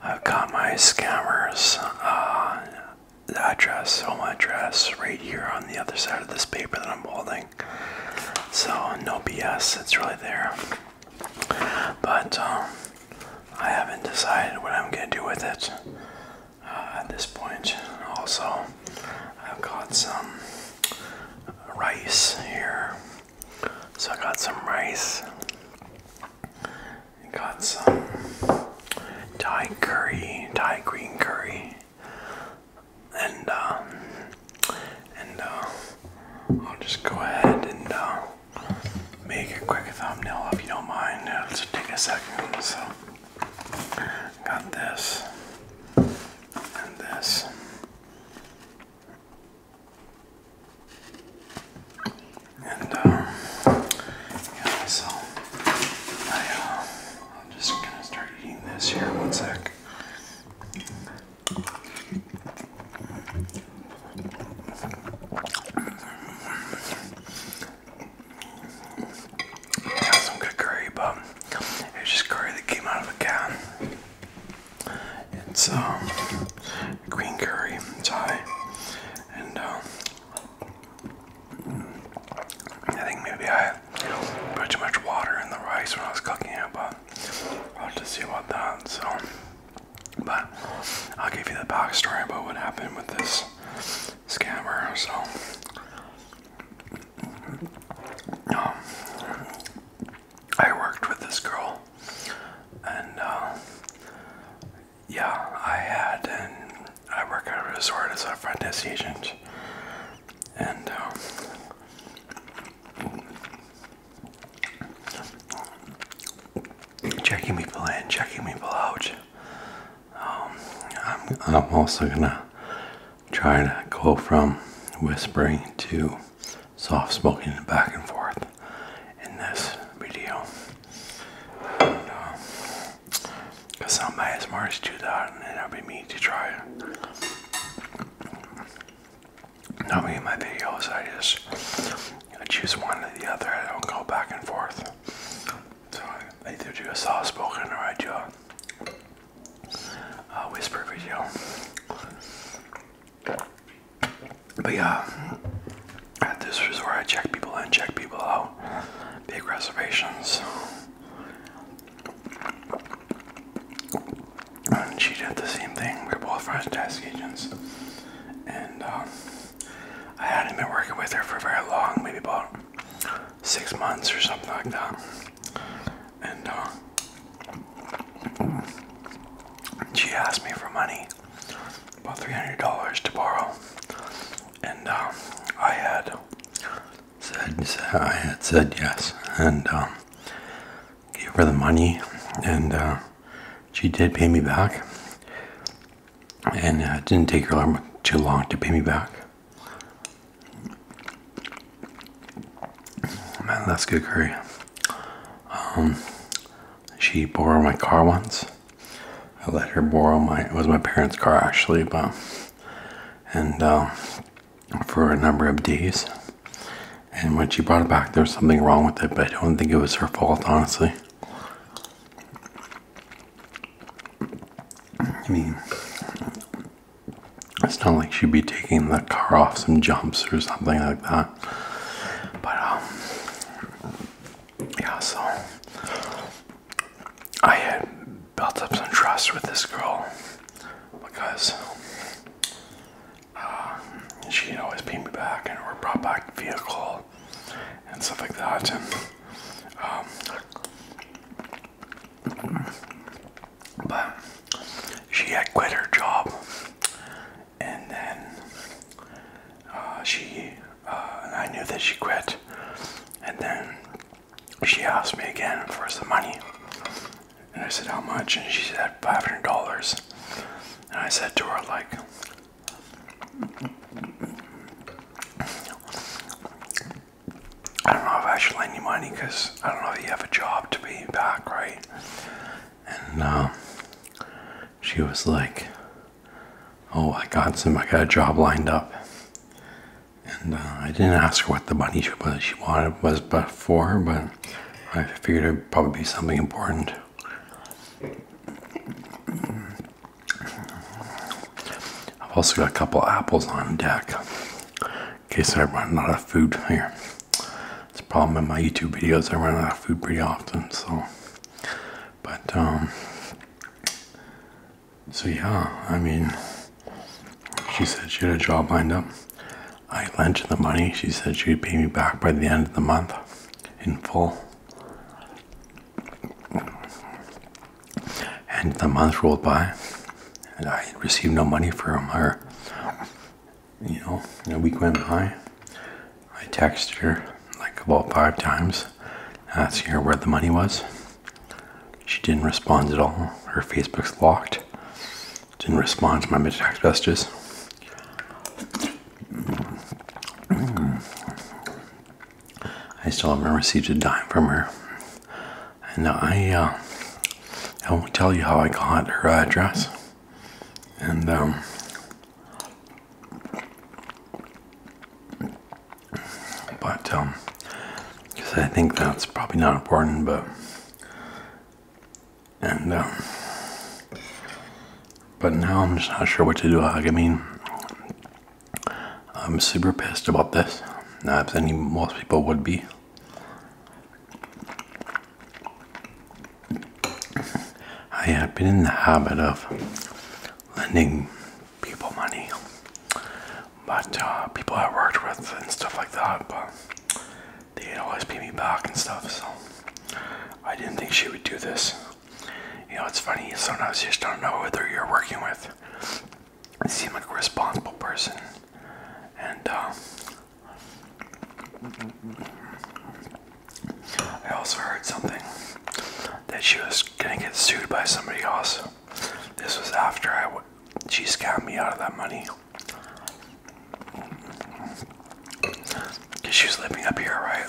I've got my scammers uh, address, my address, right here on the other side of this paper that I'm holding. So no BS, it's really there. But um, I haven't decided what I'm gonna do with it uh, at this point. Also, I've got some rice here. So I got some rice got some Thai curry, Thai green curry, and uh, and uh, I'll just go ahead and uh, make a quick thumbnail if you don't mind. it just take a second. So, got this and this and, um, yeah, so I, am uh, just gonna start eating this here. One sec. Yeah, some good curry, but it's just curry that came out of a can. And so green curry Thai, and um, I think maybe I put too much water in the rice when I was cooking it, but I'll have see about that. So, but I'll give you the back story about what happened with this scammer. So, um, I worked with this girl, and uh, yeah, I had, and I work at a resort as a front desk agent, and um, checking people in, checking people out. Um, I'm, I'm also gonna try to go from whispering to soft spoken back and forth in this video. And, uh, Cause somebody as smart as you that, and it'll be me to try. Not in my videos, I just I choose one or the other. I don't go back and forth. So I either do a soft spoken or I do a, a whisper video. But yeah, at this resort, I check people in, check people out, big reservations. And she did the same thing. We are both franchise agents, and um, I hadn't been working with her for very long, maybe about six months or something like that. And uh, she asked me for money, about $300 to borrow, and um, I had said, I had said yes, and um, gave her the money, and uh, she did pay me back, and uh, didn't take her too long to pay me back. Man, that's good curry. Um, she borrowed my car once. I let her borrow my, it was my parents' car actually, but, and uh, for a number of days. And when she brought it back, there was something wrong with it, but I don't think it was her fault, honestly. I mean, it's not like she'd be taking the car off some jumps or something like that. But um, yeah, so I had built up some trust with this girl because uh, she'd always paid me back and or brought back vehicle and stuff like that. Um, but she had quit her job and then uh, she uh, I knew that she quit, and then she asked me again for some money, and I said how much, and she said five hundred dollars, and I said to her like. I don't know if I should lend you money because I don't know if you have a job to be back, right? And uh, she was like, oh, I got some, I got a job lined up. And uh, I didn't ask her what the money she, she wanted was before, but I figured it'd probably be something important. I've also got a couple apples on deck in case I run out of food here. It's a problem in my YouTube videos, I run out of food pretty often, so but, um, so yeah, I mean, she said she had a job lined up. I lent her the money. She said she'd pay me back by the end of the month in full. And the month rolled by, and I received no money from her. You know, a week went by, I texted her like about five times asking her where the money was. She didn't respond at all. Her Facebook's locked. Didn't respond to my text messages. I still haven't received a dime from her. And I, uh, I won't tell you how I got her address. And, um, but um, because I think that's probably not important, but and um, but now I'm just not sure what to do. Like, I mean, I'm super pissed about this. Not any most people would be. I have been in the habit of lending people money. But uh, people I worked with and stuff like that, but they always pay me back and stuff. So I didn't think she would do this. You know, it's funny. Sometimes you just don't know whether you're working with. You seem like a responsible person, and. Uh, I also heard something that she was gonna get sued by somebody else. This was after I she scammed me out of that money. Cause she was living up here, right?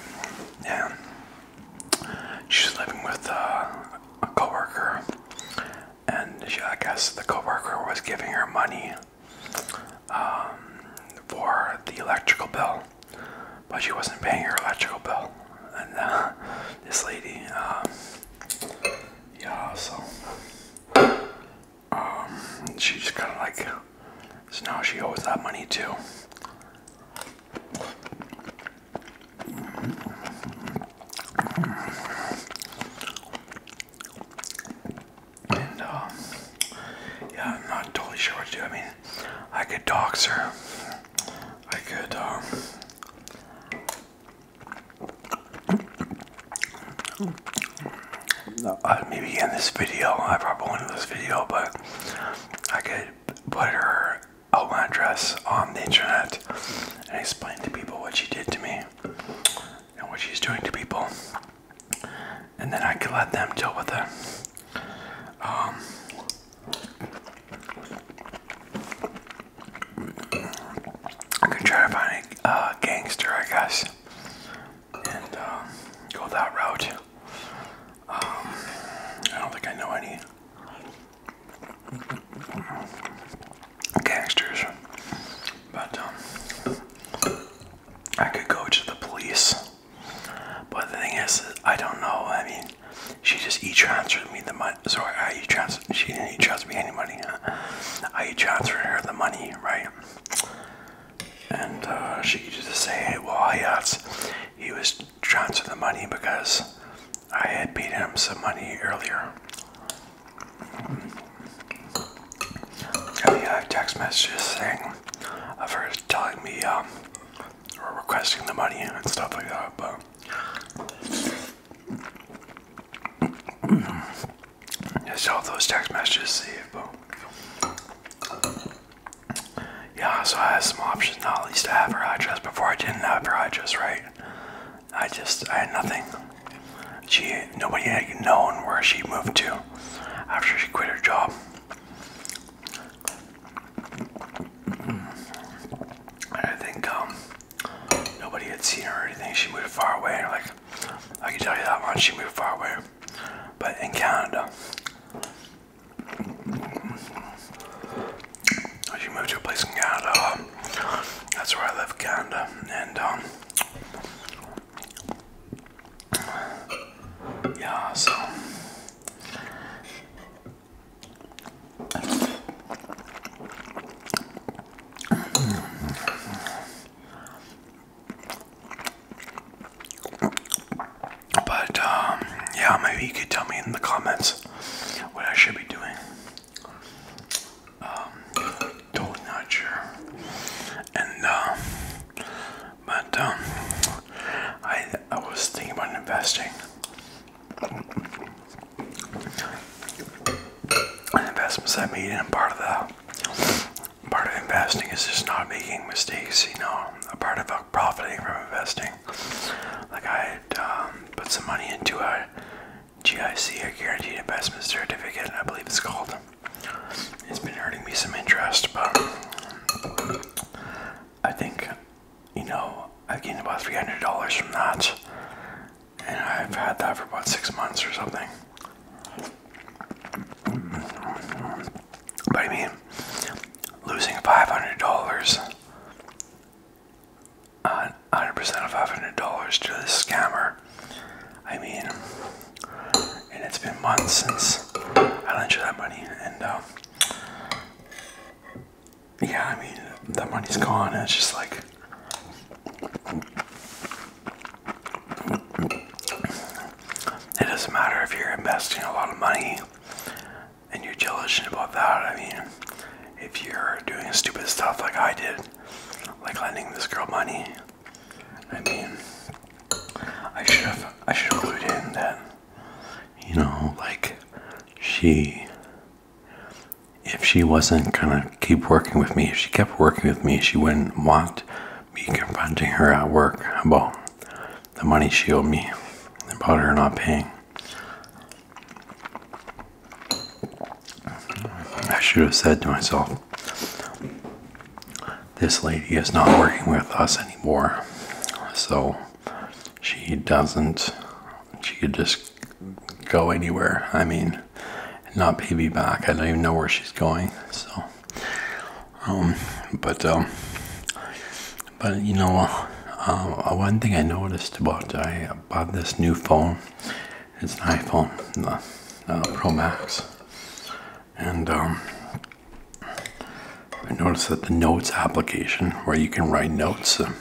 Yeah. She was living with uh, a coworker, and I guess the coworker was giving her money um, for the electrical bill but she wasn't paying her electrical bill. And uh, this lady, um, yeah, so um, she just kind of like, so now she owes that money too. And um, yeah, I'm not totally sure what to do. I mean, I could talk, sir. I could um uh, maybe in this video, I probably won't in this video, but I could put her outline dress on the internet and explain to people what she did to me and what she's doing to people, and then I could let them deal with her. Um, I could try to find a uh, gangster, I guess, and um, go that route. Um, I don't think I know any gangsters, but um, I could go to the police but the thing is, I don't know. I mean, she just e-transferred me the money. Sorry, I e-transferred. She didn't e-transfer me any money. I e-transferred her the money, right? And uh, she could just say, "Well, yes, he was transferring the money because I had paid him some money earlier." I have text messages saying of telling me um, or requesting the money and stuff like that, but I saw those text messages but yeah, so I had some options now at least I have her address. Before I didn't have her address, right? I just I had nothing. She nobody had known where she moved to after she quit her job. I think um, nobody had seen her or anything. She moved far away. Like I can tell you that much. She moved far away. But in Canada, she moved to a place in Canada. that's where I live, Canada, and um, yeah. So but um, yeah, maybe you could tell me in the comments what I should be doing. Um, totally not sure. And um, but um, I I was thinking about investing. And investments I made and part of the part of investing is just not making mistakes, you know. A part of profiting from investing. Like I um, put some money into a GIC, a guaranteed investment certificate, I believe it's called. It's been earning me some interest, but I think you know, I've gained about $300 from that. And I've had that for about six months or something. But I mean, losing $500, 100% uh, of $500 to the scammer. I mean, and it's been months since I lent you that money, and um, yeah, I mean, the money's gone. it's just like, it doesn't matter if you're investing a lot of money and you're diligent about that. I mean, if you're doing stupid stuff like I did, like lending this girl money, I mean, I should have, I should have clued in that you know, like she, if she wasn't gonna keep working with me, if she kept working with me, she wouldn't want me confronting her at work about the money she owed me, about her not paying. I should have said to myself, this lady is not working with us anymore, so she doesn't she could just go anywhere i mean not pay me back i don't even know where she's going so um, but um, but you know uh, uh, one thing i noticed about i bought this new phone it's an iphone uh, pro max and um, I noticed that the notes application where you can write notes uh,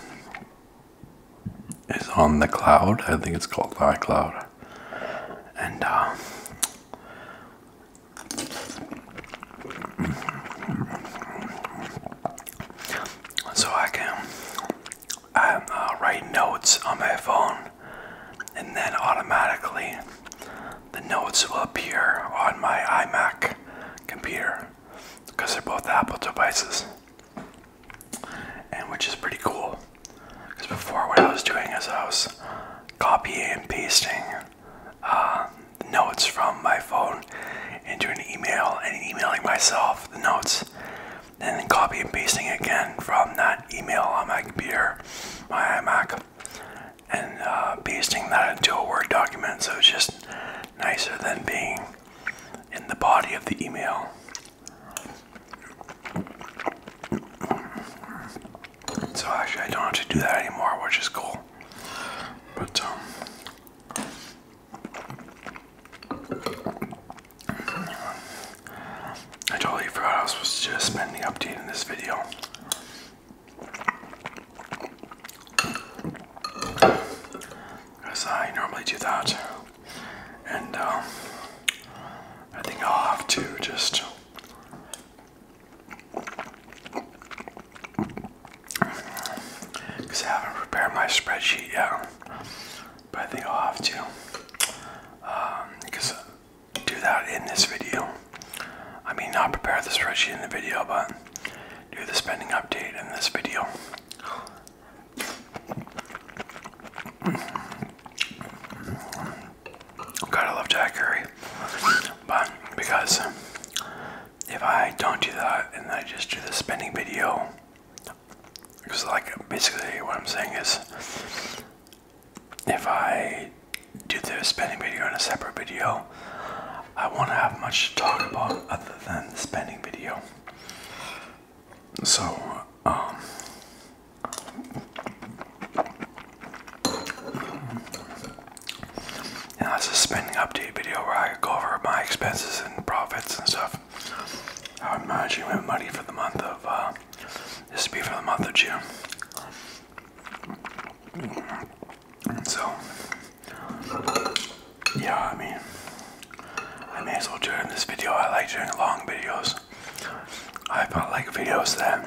is on the cloud. I think it's called iCloud. And uh, so I can uh, write notes on my phone, and then automatically the notes will appear on my iMac computer because they're both Apple devices, and which is pretty cool. Because before, what I was doing is I was copying and pasting uh, notes from my phone into an email and emailing myself the notes, and then copying and pasting again from that email on my computer, my iMac, and uh, pasting that into a Word document. So it's just nicer than being in the body of the email. So actually, I don't have to do that anymore, which is cool. But um, I totally forgot I was supposed to just spend the update in this video because I normally do that, and um, I think I'll have to just because I haven't prepared my spreadsheet yet, but I will have to um, because do that in this video. I mean, not prepare the spreadsheet in the video, but do the spending update in this video. Gotta love Jack Curry. But because if I don't do that and I just do the spending video, because like basically what I'm saying is if I do the spending video in a separate video, I won't have much to talk about other than the spending video. So, um, and that's a spending update video where I go over my expenses and profits and stuff. I'm managing my money for the month of, uh, this will be for the month of June. So, yeah, I mean, I may as well turn this video. I like doing long videos. I found like videos that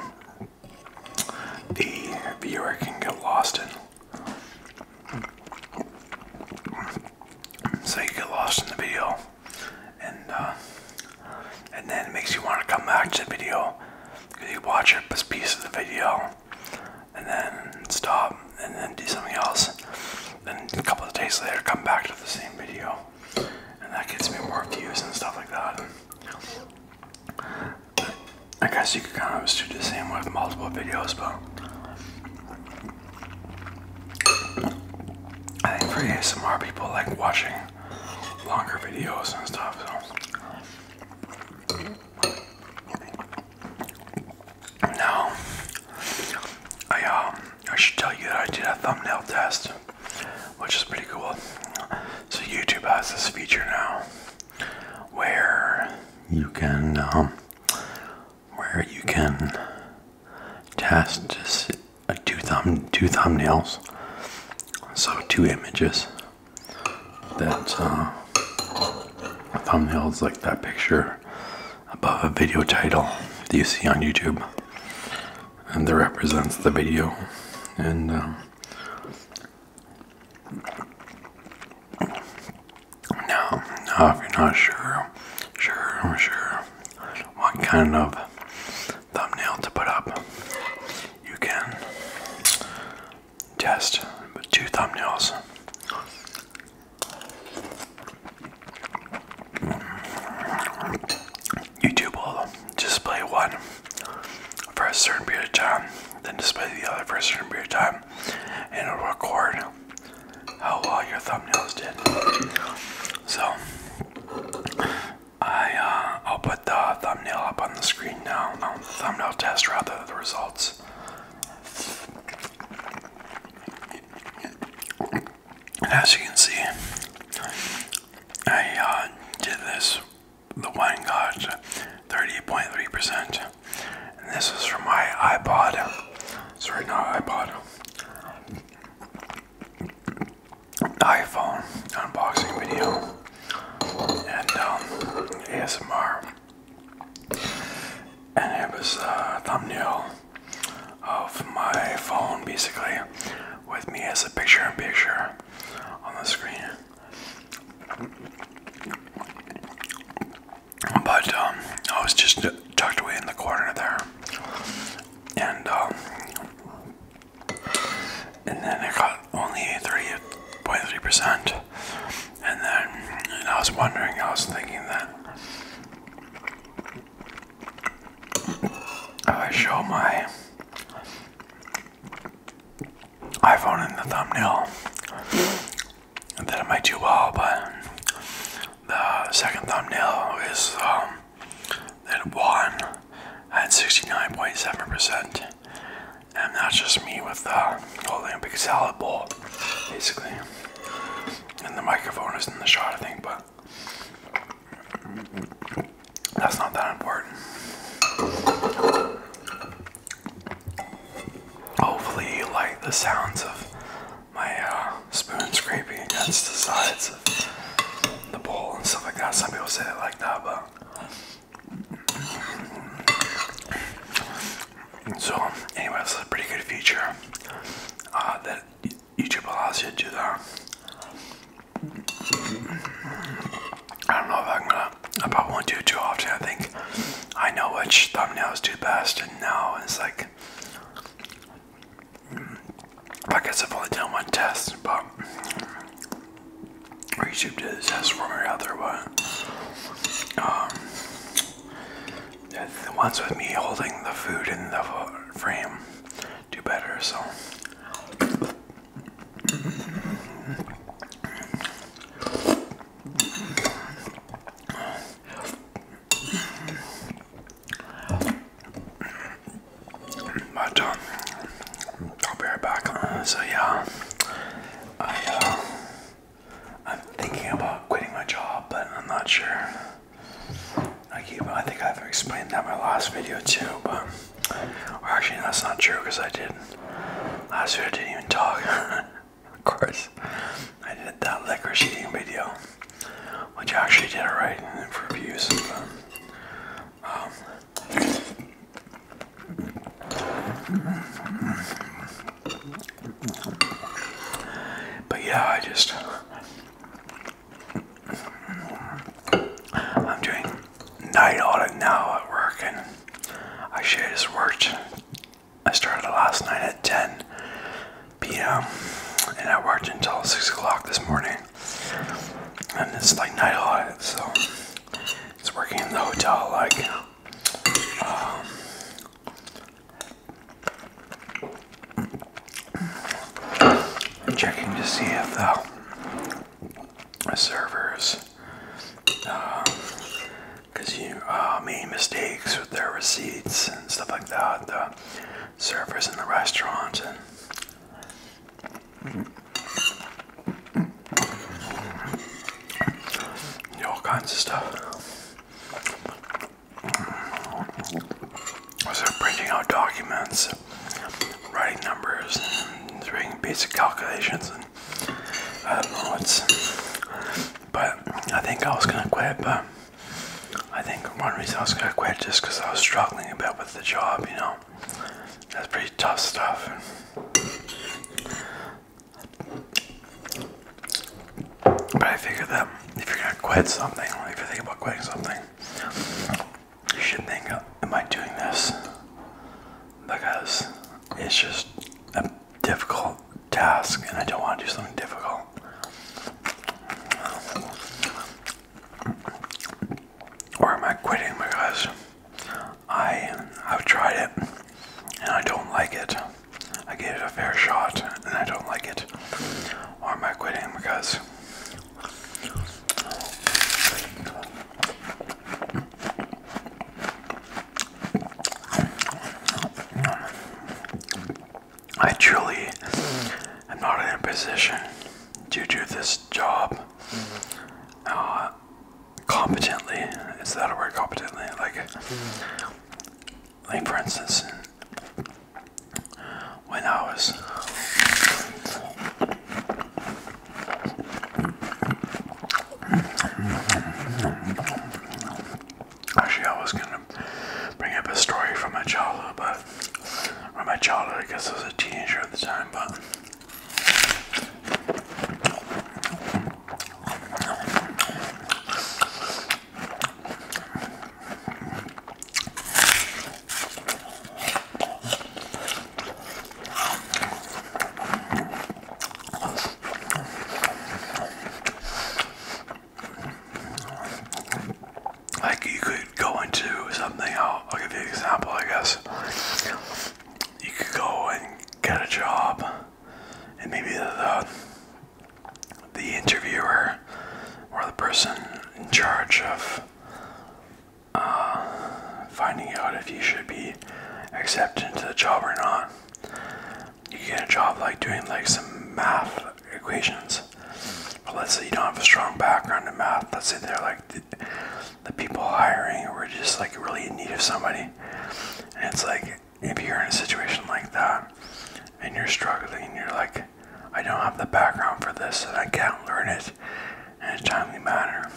the viewer can get lost in. So you get lost in the video, and uh, and then it makes you want to come back to the video because you watch a piece of the video, and then stop and then do something else. And a couple of days later, come back to the same video, and that gets me more views and stuff like that. I guess you could kind of do the same with multiple videos, but I think for ASMR people like watching longer videos and stuff. Now, I um, I should tell you that I did a thumbnail test, which is pretty cool. So YouTube has this feature now, where you can um, where you can test just two uh, thumb two thumbnails, so two images. That uh, thumbnails like that picture above a video title that you see on YouTube, and that represents the video. And uh, now, now, if you're not sure, sure, sure, what kind of thumbnail to put up, you can test with two thumbnails. YouTube will display one for a certain period of time, then display the other for a certain period of time, and it'll record how well your thumbnails did. So, I, uh, I'll put the thumbnail up on the screen now, um, thumbnail test rather, the results. And as you can see, I uh, did this, the wine got 38.3%. And this is from my iPod. Sorry, not iPod. iPhone unboxing video. And um, ASMR and it was a thumbnail of my phone basically with me as a picture in picture on the screen. But um, I was just tucked away in the corner there, and um, and then I got only thirty point three percent and then uh, and I was wondering, I was thinking that if I show my iPhone in the thumbnail, that it might do well, but the second thumbnail is um, that one at 69.7%. And that's just me with uh, the holding a big salad bowl, basically and the microphone is in the shot, I think, but that's not that important. Hopefully, you like the sounds of my uh, spoon scraping against the sides of the bowl and stuff like that. Some people say it like that, but so, anyway, that's a pretty good feature uh, that YouTube allows you to do that. I don't know if I'm gonna, I probably won't do it too often. I think I know which thumbnails do best, and now it's like, mm, I guess I've only done one test, but YouTube did a test for me, rather, but um, the ones with me holding the food in the frame do better, so. But um, I'll be right back. so yeah, I uh, I'm thinking about quitting my job, but I'm not sure. I keep. I think I've explained that in my last video too, but actually that's not true because I did. Last video I didn't even talk. of course, I did that liquor shooting video, which I actually did alright for views. Um, but yeah, I just I'm doing night audit now at work, and I should have just worked. I started last night at 10 p.m. and I worked until 6 o'clock this morning. And it's like night audit, so it's working in the hotel like um, checking to see if the servers, uh, you uh, made mistakes with their receipts and stuff like that, the servers in the restaurants and. All kinds of stuff. So printing out documents, writing numbers, and doing basic calculations, and I uh, don't know. It's but I think I was gonna quit, but I think one reason I was gonna quit just because I was struggling a bit with the job. You know, that's pretty tough stuff. But I figure that if you're gonna quit something, if you're thinking about quitting something, you should think, uh, "Am I doing this?" Because it's just a difficult task, and I don't want to do something difficult. Or am I quitting my because I have tried it and I don't like it? I gave it a fair shot and I don't like it. Or am I quitting because I truly am not in a position to do this job uh, competently. Is that a word competently? Like, like for instance, when I was actually I was gonna bring up a story from my childhood but my childhood I guess I was a teenager at the time but like you could go into something, I'll, I'll give you an example, I guess. You could go and get a job, and maybe the, the interviewer or the person in charge of uh, finding out if you should be accepted into the job or not. You get a job like doing like some math equations. But let's say you don't have a strong background in math. Let's say they're like the, the people hiring were just like really in need of somebody. And it's like if you're in a situation like that and you're struggling, you're like, I don't have the background for this and I can't learn it in a timely manner.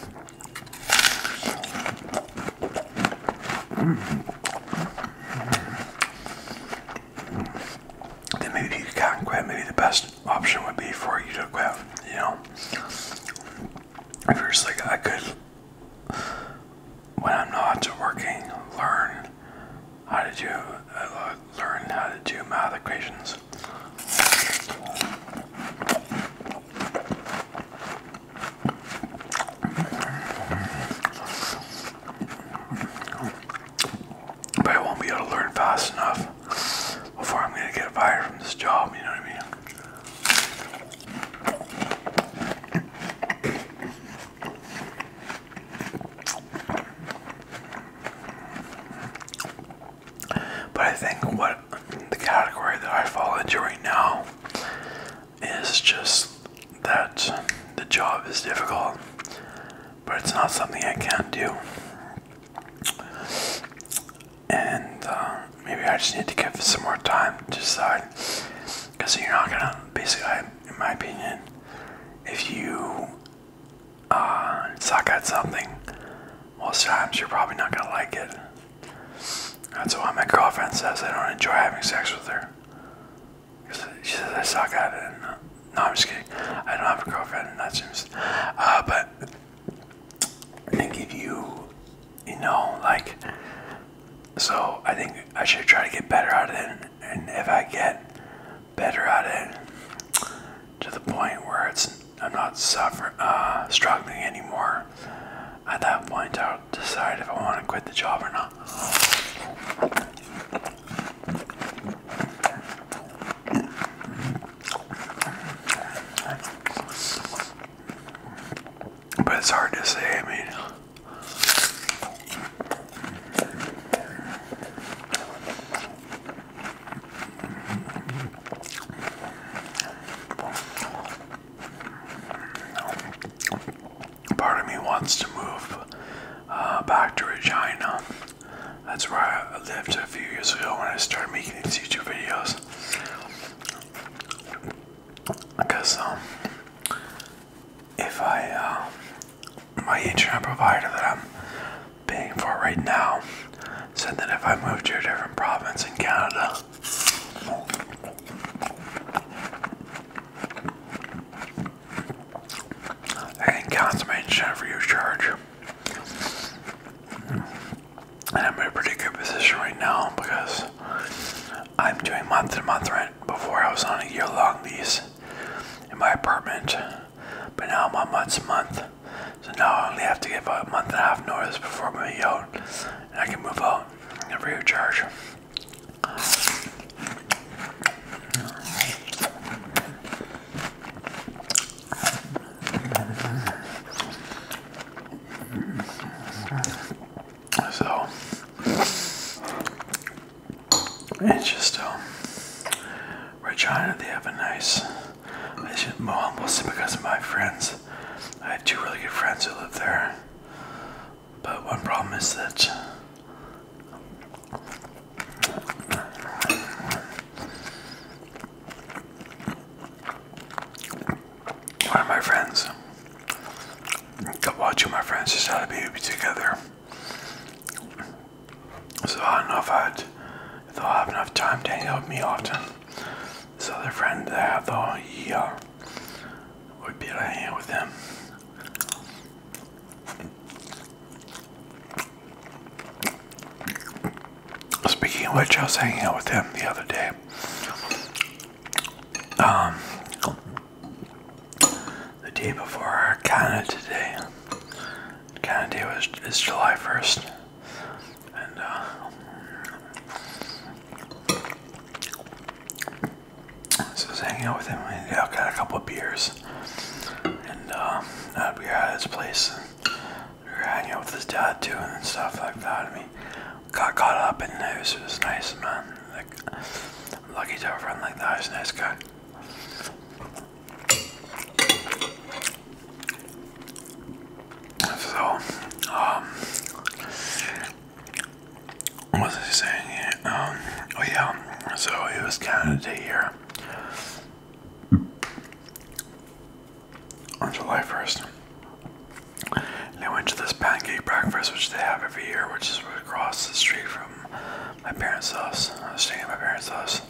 Then maybe you can't Maybe the best option would be for you to quit. You know, if I could, when I'm not working, learn how did you uh, learn how to do math equations? But I won't be able to learn fast enough before I'm going to get fired from this job, you know what I mean? But I think what the category that I fall into right now is just that the job is difficult, but it's not something I can do. And uh, maybe I just need to give some more time to decide. Because you're not gonna, basically, I, in my opinion, if you uh, suck at something, most times you're probably not gonna like it. That's why my girlfriend says I don't enjoy having sex with her. She says I suck at it. no, I'm just kidding. I don't have a girlfriend, and that seems. Uh, but I think if you, you know, like, so I think I should try to get better at it and if I get better at it to the point where it's I'm not suffering uh, struggling anymore, at that point I'll decide if I want to quit the job or not. But it's hard to say, I mean Part of me wants to move uh, back to Regina. That's where I lived a few years ago when I started making these YouTube videos. Because um, if I, uh, my internet provider that I'm paying for right now said that if I moved to a different province in Canada, I can cancel my internet for your charge. I'm in a pretty good position right now because I'm doing month to month rent before I was on a year long lease in my apartment, but now I'm on month's month. So now I only have to give a month and a half notice before I'm going to be out, and I can move out and recharge. So, it's just, um, Regina, they have a nice, it's just well, mostly because of my friends. I have two really good friends who live there. But one problem is that one of my friends, a couple of two of my friends decided to be together. So I don't know if i they'll have enough time to hang out with me often. This other friend that I have though, he uh, would be able to hang out with them. Speaking of which, I was hanging out with him the other day. Um, the day before our Canada Day. Canada Day was is July 1st, and uh, so I was hanging out with him. We got a couple of beers, and we were at his place. And we were hanging out with his dad too, and stuff like that. I mean, got caught up, and it was, it nice, man. Like, lucky to have a friend like that. nice guy. So, um, what was I saying? Um, oh yeah, so it was Canada Day here on July 1st. They went to this pancake breakfast, which they have every year, which is across the street from my parents' house. I was staying at my parents' house.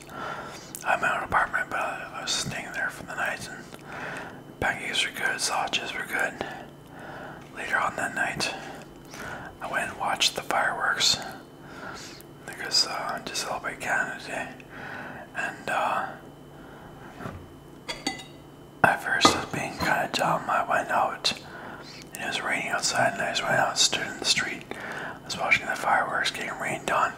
I had my own apartment, but I, was staying there for the night. And pancakes were good, sausages were good. Later on that night, I went and watched the fireworks because was just celebrate Canada Day, and uh, at first I was being kind of dumb. I went out. And it was raining outside, and I just went out and stood in the street was watching the fireworks getting rained on.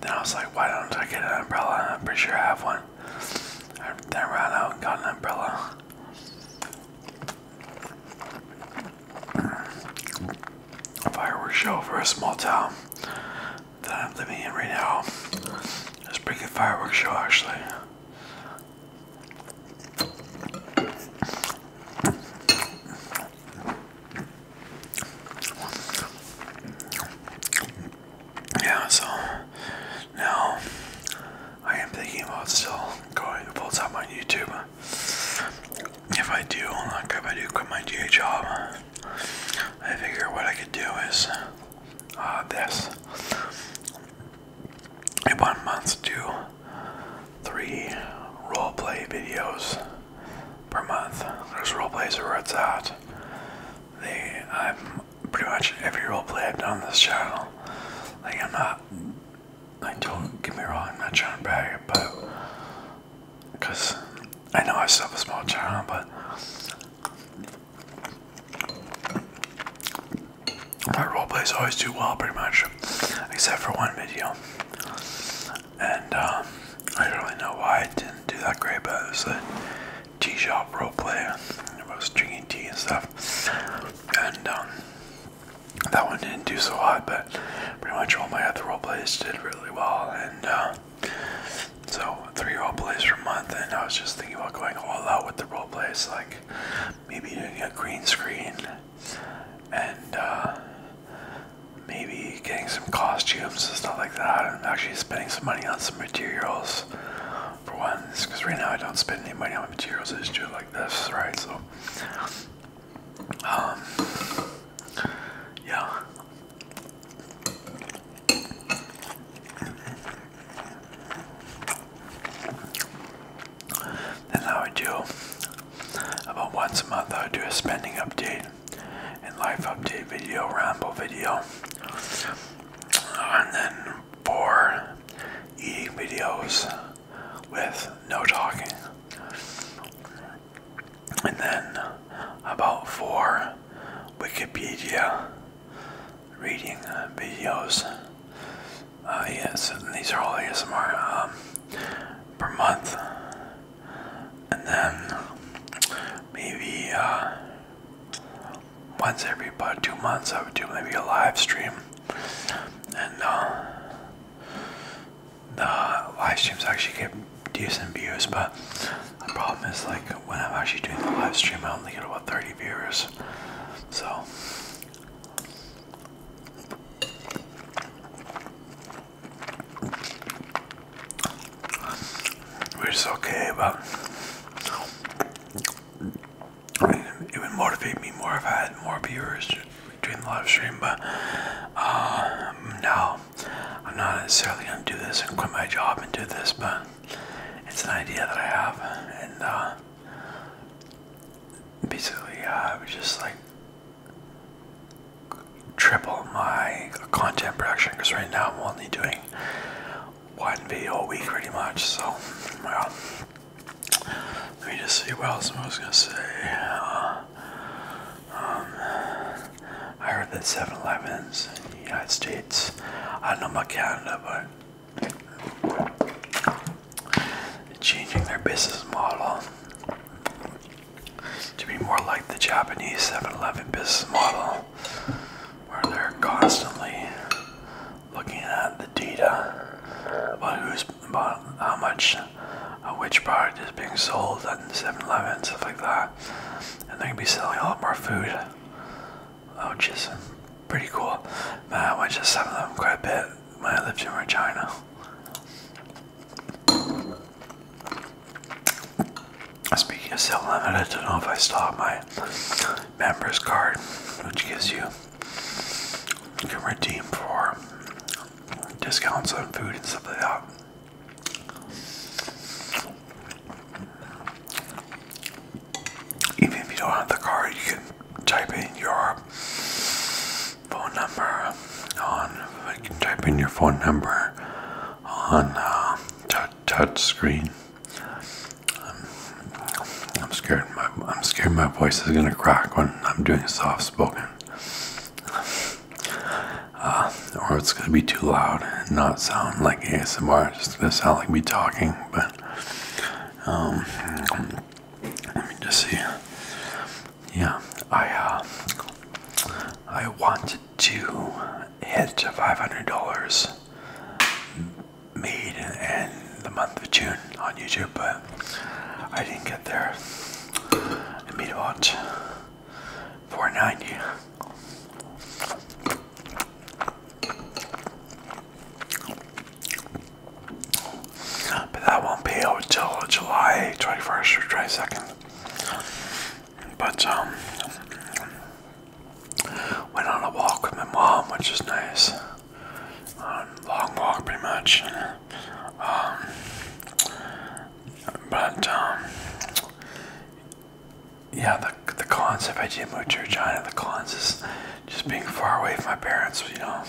Then I was like, why don't I get an umbrella? I'm pretty sure I have one. I then ran out and got an umbrella. A fireworks show for a small town that I'm living in right now. It's a pretty good fireworks show actually. Yeah, so now I am thinking about still going full time on YouTube. If I do, like if I do quit my DA job, I figure what I could do is uh, this. In one month, do three roleplay videos per month. There's roleplays where it's at. They, I'm pretty much every roleplay I've done on this channel. Like I'm not, I don't get me wrong, I'm not trying to brag, but because I know I still have a small channel, but my roleplays always do well pretty much, except for one video and um, I don't really know why I didn't do that great, but it was a tea shop role play I was drinking tea and stuff, and um, that one didn't do so hot, but pretty much all my other role plays did really well, and uh, so three role plays per month, and I was just thinking about going all out with the role plays, like maybe doing a green screen and uh, maybe getting some costumes and stuff like that, and actually spending some money on some materials for once. Because right now I don't spend any money on materials; I just do it like this, right? So, um, yeah. Then I would do about once a month I would do a spending update and life update video, ramble video. And then four eating videos with no talking. And then about four Wikipedia reading videos. Uh, yes, these are all ASMR. Um, per month, and then maybe uh, once every about two months, I would do maybe a live stream, and uh, the live streams actually get decent views, but the problem is like when I'm actually doing the live stream, I only get about 30 viewers, so which is okay, but it would motivate me more if I had more viewers during the live stream. But uh, I'm not necessarily going to do this and quit my job and do this, but it's an idea that I have, and uh, basically, uh, I was just like triple my content production because right now I'm only doing one video a week pretty much. So, well, let me just see what I was going to say. Uh, um, I heard that 7 Elevens in the United States, I don't know about Canada, but changing their business model to be more like the Japanese 7-Eleven business model, where they're constantly looking at the data about who's about how much uh, which product is being sold at 7-Eleven and stuff like that, and they can be selling a lot more food, Oh, is pretty cool. Man, I went to 7-Eleven quite a bit when I lived in Regina. Speaking of Cell Limited, I don't know if I still have my members card, which gives you, you can redeem for discounts on food and stuff like that. Even if you don't have the card, you can type in your phone number on, you can type in your phone number on uh, touch, touch screen. I'm scared. My, I'm scared my voice is gonna crack when I'm doing soft spoken, uh, or it's gonna be too loud and not sound like ASMR. It's just gonna sound like me talking. But um, let me just see yeah, I uh, I wanted to hit $500 made in the month of June on YouTube, but I didn't get there. I made about 490. But that won't be out till July 21st or 22nd. But um went on a walk with my mom, which is nice. Um, long walk pretty much. Um, but um yeah, the the cons I did move to Regina, the cons is just being far away from my parents, you know.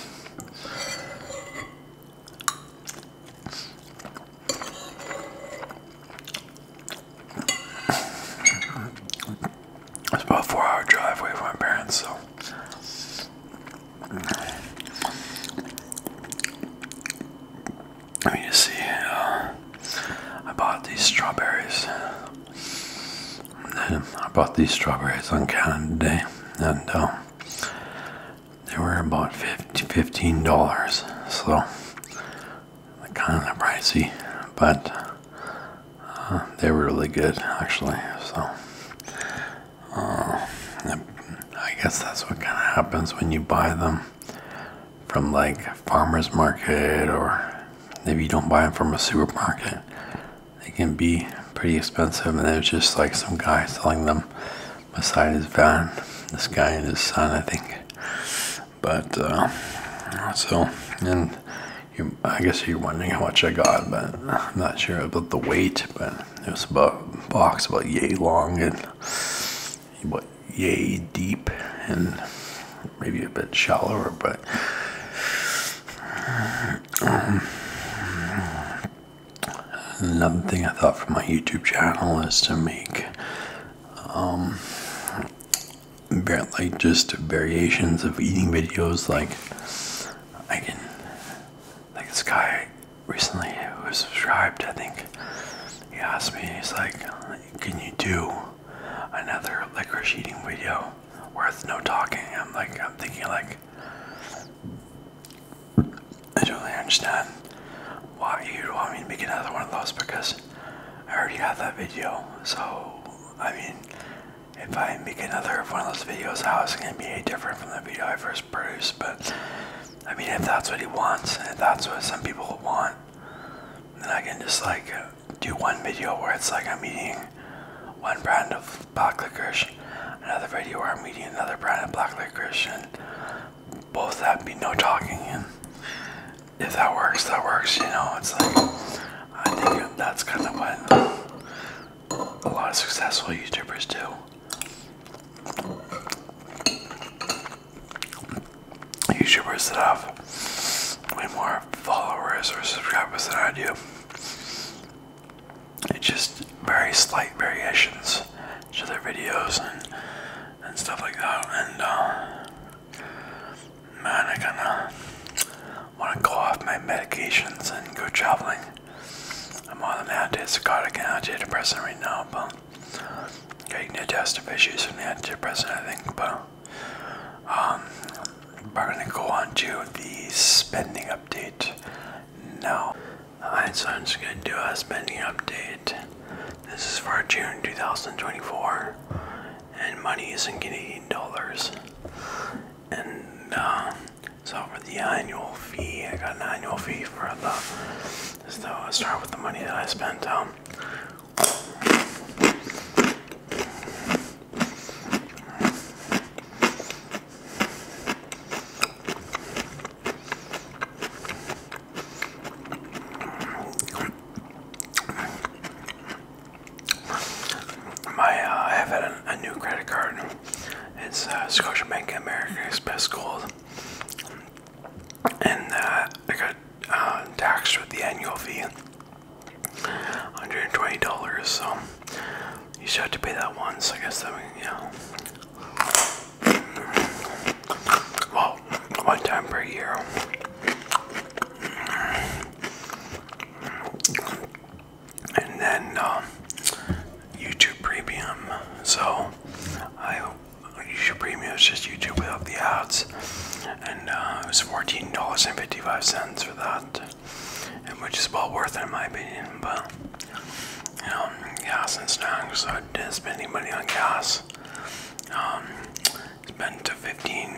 It's about a four hour drive away from my parents, so. I you see, uh, I bought these strawberries. then I bought these strawberries on Canada Day, and uh, they were about 50, $15 so kind of pricey but uh, they were really good actually so uh, I guess that's what kind of happens when you buy them from like farmers market or maybe you don't buy them from a supermarket they can be pretty expensive and there's just like some guy selling them beside his van, this guy and his son, I think. But uh, so, and I guess you're wondering how much I got, but I'm not sure about the weight. But it was about box about yay long and what yay deep and maybe a bit shallower, but. Um, Another thing I thought for my YouTube channel is to make um, just variations of eating videos. Like I can, like this guy recently who subscribed, I think he asked me, he's like, "Can you do another liquor eating video worth no talking?" I'm like, I'm thinking like. I don't really understand why you want me to make another one of those because I already have that video. So, I mean, if I make another one of those videos, how is it going to be any different from the video I first produced? But, I mean, if that's what he wants, and if that's what some people want, then I can just like do one video where it's like I'm eating one brand of black licorice, another video where I'm eating another brand of black licorice, and both that be no talking and if that works that works you know it's like i think that's kind of what a lot of successful youtubers do youtubers that have way more followers or subscribers than i do it's just very slight variations other videos and and stuff like that. And uh, man, I kinda want to go off my medications and go traveling. I'm on an antipsychotic and antidepressant right now, but getting digestive issues from the antidepressant, I think. But um, we're gonna go on to the spending update now. Alright, so I'm just going to do a spending update. This is for June 2024, and money is in Canadian dollars. And uh, so for the annual fee, I got an annual fee for the. So i start with the money that I spent. Um, my, uh, I have had a, new credit card. It's uh, Scotiabank American Express Gold, and uh, I got uh, taxed with the annual fee, $120. So you should have to pay that once. I guess that, yeah. Well, one time per year. And then um, YouTube Premium. So I YouTube Premium is just YouTube without the ads, and uh, it was fourteen dollars and fifty-five cents for that, and which is well worth it in my opinion. But you know, gas and snacks, I not uh, spending money on gas. Um, spent to fifteen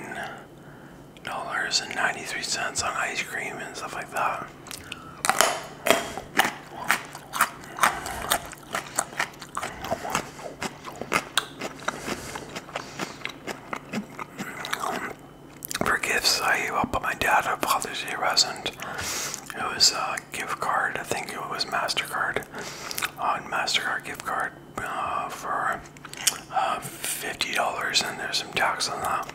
dollars and ninety three cents on ice cream and stuff like that. For gifts, I helped my dad a Father's Day present. It was uh, uh, gift card. I think it was Mastercard on Mastercard gift card uh, for uh, fifty dollars, and there's some tax on that.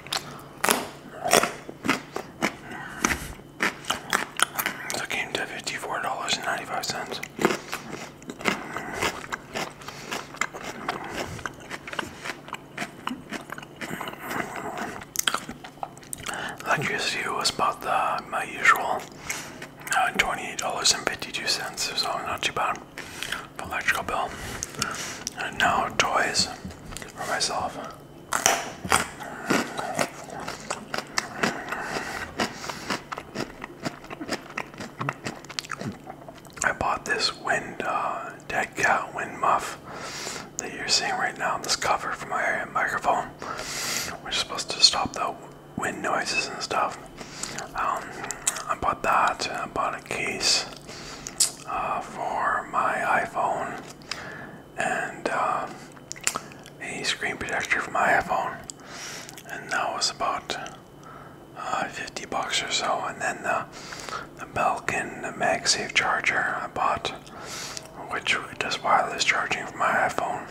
it came to fifty-four dollars and ninety-five cents. Electricity was about the, my usual uh, $28.52, so not too bad for electrical bill. And now toys for myself. I bought this wind uh, dead cat wind muff that you're seeing right now. This cover for my microphone. We're supposed to stop the wind noises and stuff. Um, I bought that. I bought a case uh, for my iPhone and uh, a screen protector for my iPhone, and that was about uh, 50 bucks or so. And then the, the Belkin MagSafe charger I bought, which does wireless charging for my iPhone.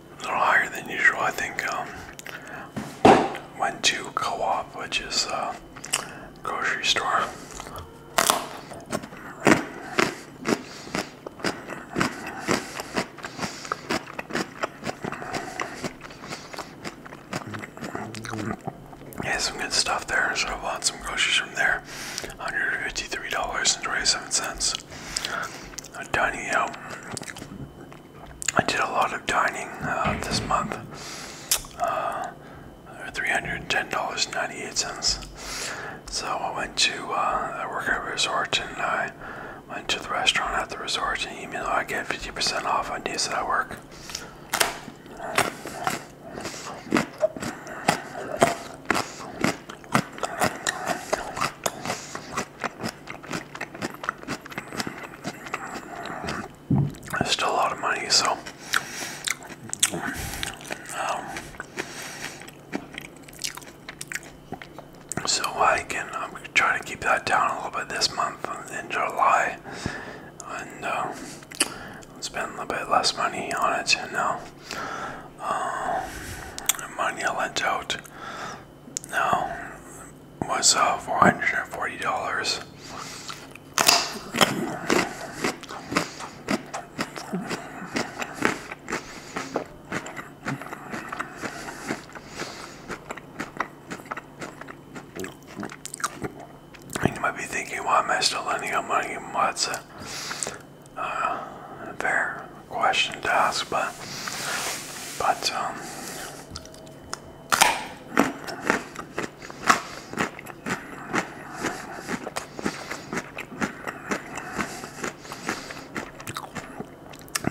a little higher than usual. I think um, went to Co-op, which is a uh, grocery store. Yeah, some good stuff there. So I bought some groceries from there. $153.27. A am dining out. I did a lot of dining uh, this month. Uh, $310.98. So I went to, uh, a I work at resort and I went to the restaurant at the resort and even though I get 50% off on days that work. It's still a lot of money, so um, so I can I'm trying to keep that down a little bit this month in July, and uh, spend a little bit less money on it. You know, um, money I lent out no, was uh, $440. you might be thinking, why am I still lending out money? Well, uh, fair question to ask, but, but, um,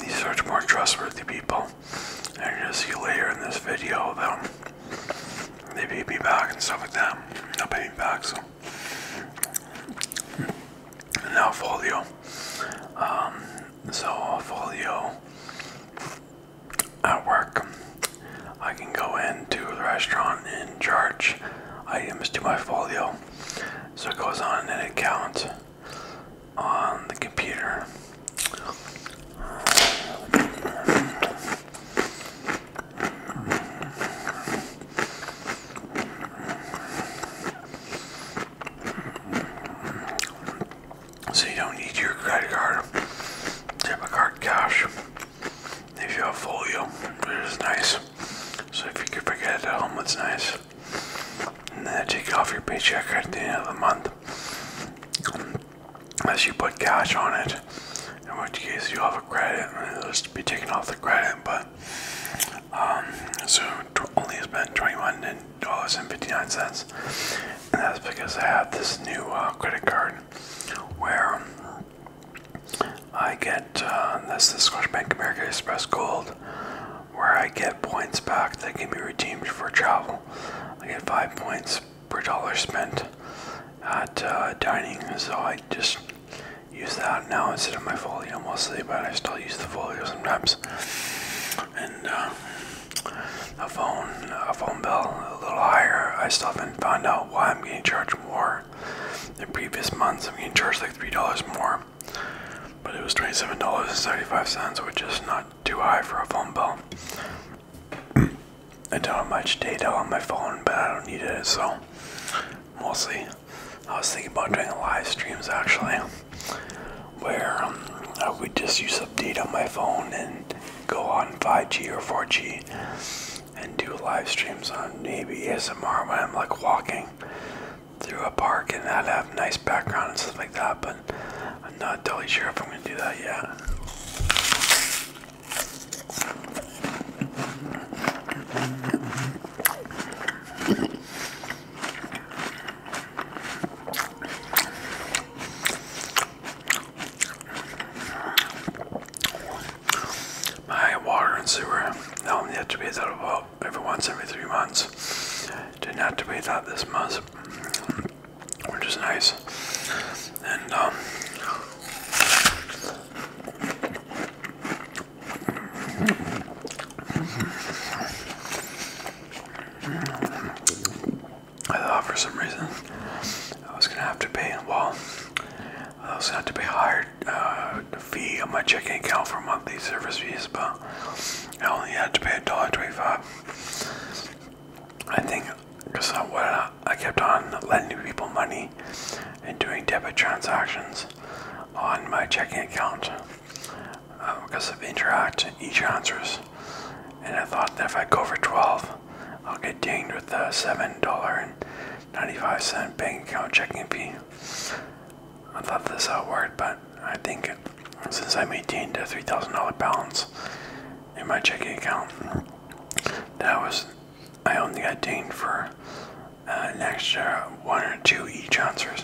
you search more trustworthy people, and you will gonna see later in this video about they paid me back and stuff like that. They'll pay back, so. now folio. So, folio at work, I can go into the restaurant and charge items to my folio. So it goes on an account on the computer so you don't need your credit card, debit card, cash. If you have folio, it is nice. So if you could forget it at home, it's nice. And then take off your paycheck at the end of the month, unless you put cash on it. In which case, you have a credit, and it'll just be taken off the credit. But um, so only spent 21 and $2.59. And that's because I have this new uh, credit card where I get, uh, that's the Scotiabank American Express Gold, where I get points back that can be redeemed for travel. I get five points per dollar spent at uh, dining, so I just use that now instead of my folio mostly, but I still use the folio sometimes. And uh, the phone, a phone bill a little higher. I still haven't found out why I'm getting charged more. than previous months, I'm getting charged like three dollars more, but it was twenty-seven dollars and seventy-five cents, which is not too high for a phone bill. I don't have much data on my phone, but I don't need it, so mostly. I was thinking about doing live streams actually where um, I would just use update on my phone and go on 5G or 4G and do live streams on maybe ASMR when I'm like walking through a park and I'd have nice background and stuff like that, but I'm not totally sure if I'm gonna do that yet. My water and sewer now only have to be that about every once every three months. Didn't have to be thought this month, which is nice. And um, I uh, thought for some reason I was gonna have to pay. Well, I was gonna have to pay a higher uh, fee on my checking account for monthly service fees, but I only had to pay a dollar twenty-five. I think because I, I, I kept on lending people money and doing debit transactions on my checking account uh, um, because of interact each answers. And I thought that if I go for 12, I'll get dinged with a $7.95 bank account checking fee. I thought this out worked, but I think since I maintained a $3,000 balance in my checking account, that was, I only got dinged for uh, an extra one or 2 each answers.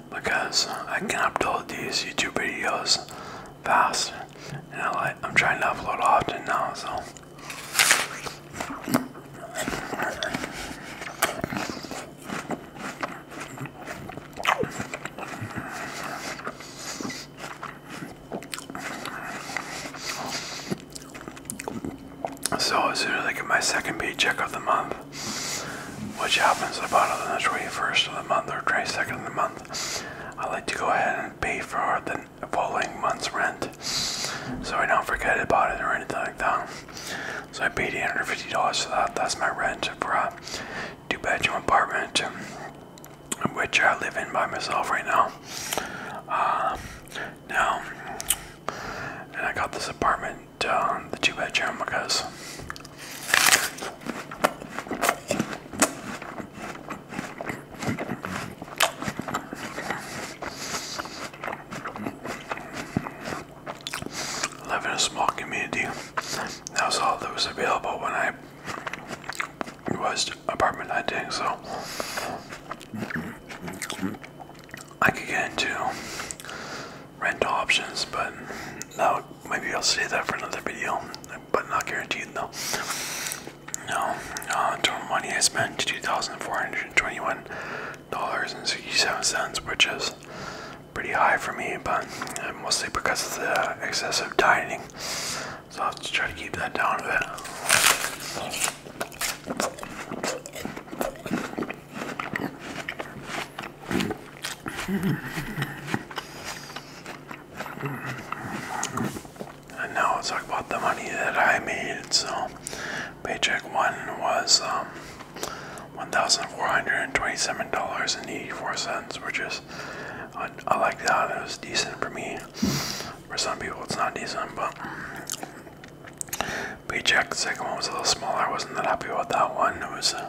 because I can upload these YouTube videos fast, and I I'm trying to upload often now, so. So as soon as I get my second paycheck of the month, which happens about on the 21st of the month or 22nd of the month, I like to go ahead and pay for the following month's rent so I don't forget about it or anything like that. So I paid $850 for that. That's my rent for a two bedroom apartment, which I live in by myself right now. Uh, now, and I got this apartment, uh, the two bedroom, because Live in a small community. That was all that was available when I was apartment hunting, so I could get into rent options, but that maybe I'll save that for another video, but not guaranteed though. No, uh, total money I spent $2,421.67, which is pretty high for me, but uh, mostly because of the excessive dieting. So I'll have try to keep that down a bit. And now let's talk about the money that I made. So, paycheck one was um, $1,427.84, which is, I, like that. It was decent for me. For some people, it's not decent, but paycheck. The second one was a little smaller. I wasn't that happy about that one. It was uh,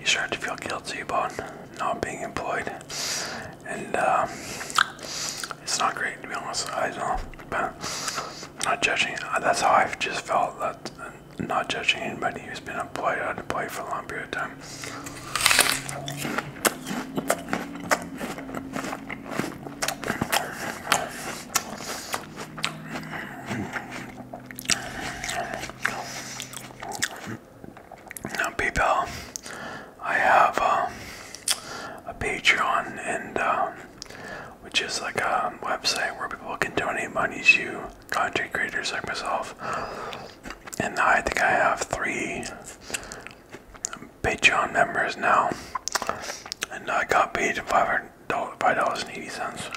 you start to feel guilty about not being employed, and uh, it's not great to be honest. I don't know, but not judging. That's how I've just felt that not judging anybody who's been employed or deployed for a long period of time. Now, people, I have um, a Patreon, and um, which is like a website where people can donate money to content creators like myself. And I think I have three Patreon members now, and I got paid five dollars and eighty cents.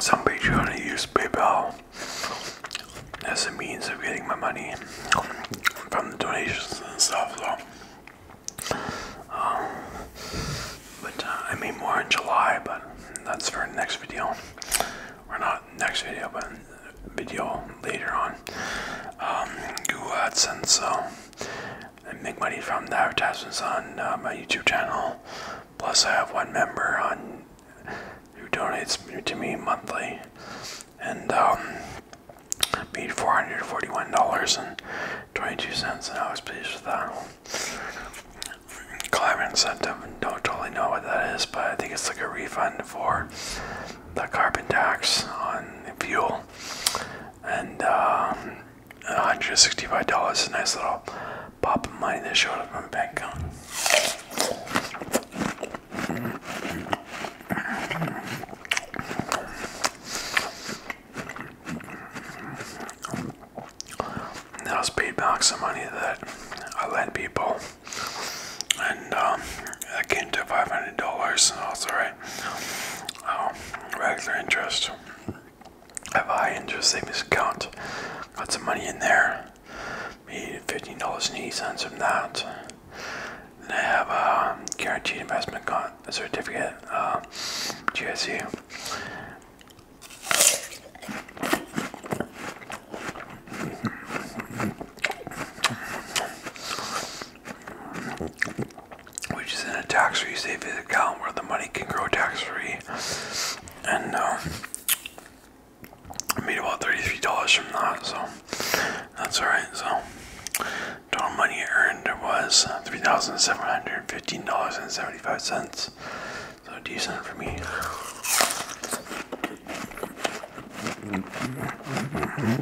Some Patreon use PayPal as a means of getting my money from the donations and stuff. So, um, but uh, I mean more in July, but that's for next video. Or not next video, but video later on. Um, Google uh, AdSense, so uh, I make money from the advertisements on uh, my YouTube channel. Plus, I have one member on who donates to me monthly, and um, paid four hundred forty-one dollars and twenty-two cents, and I was pleased with that. Climate incentive, don't totally know what that is, but I think it's like a refund for the carbon tax on fuel. And $165 uh, is a nice little pop of money that showed up in my bank account. That was paid back some money that I lent people. And um, that came to five hundred dollars, and also right, um, regular interest. I have a high interest savings account. Got some money in there. Made fifteen dollars and eighty cents from that. Then I have a guaranteed investment certificate, uh, which is in a tax-free savings account where the money can grow tax-free. And uh, I made about $33 from that, so that's alright. So total money earned was $3,715.75. So decent for me.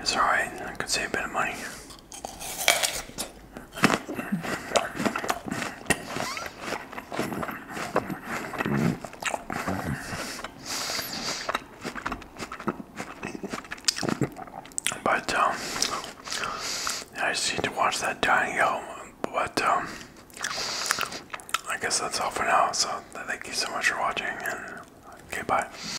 It's alright, I could save a bit of money. But um, I just need to watch that dying out. But um, I guess that's all for now. So thank you so much for watching, and okay, bye.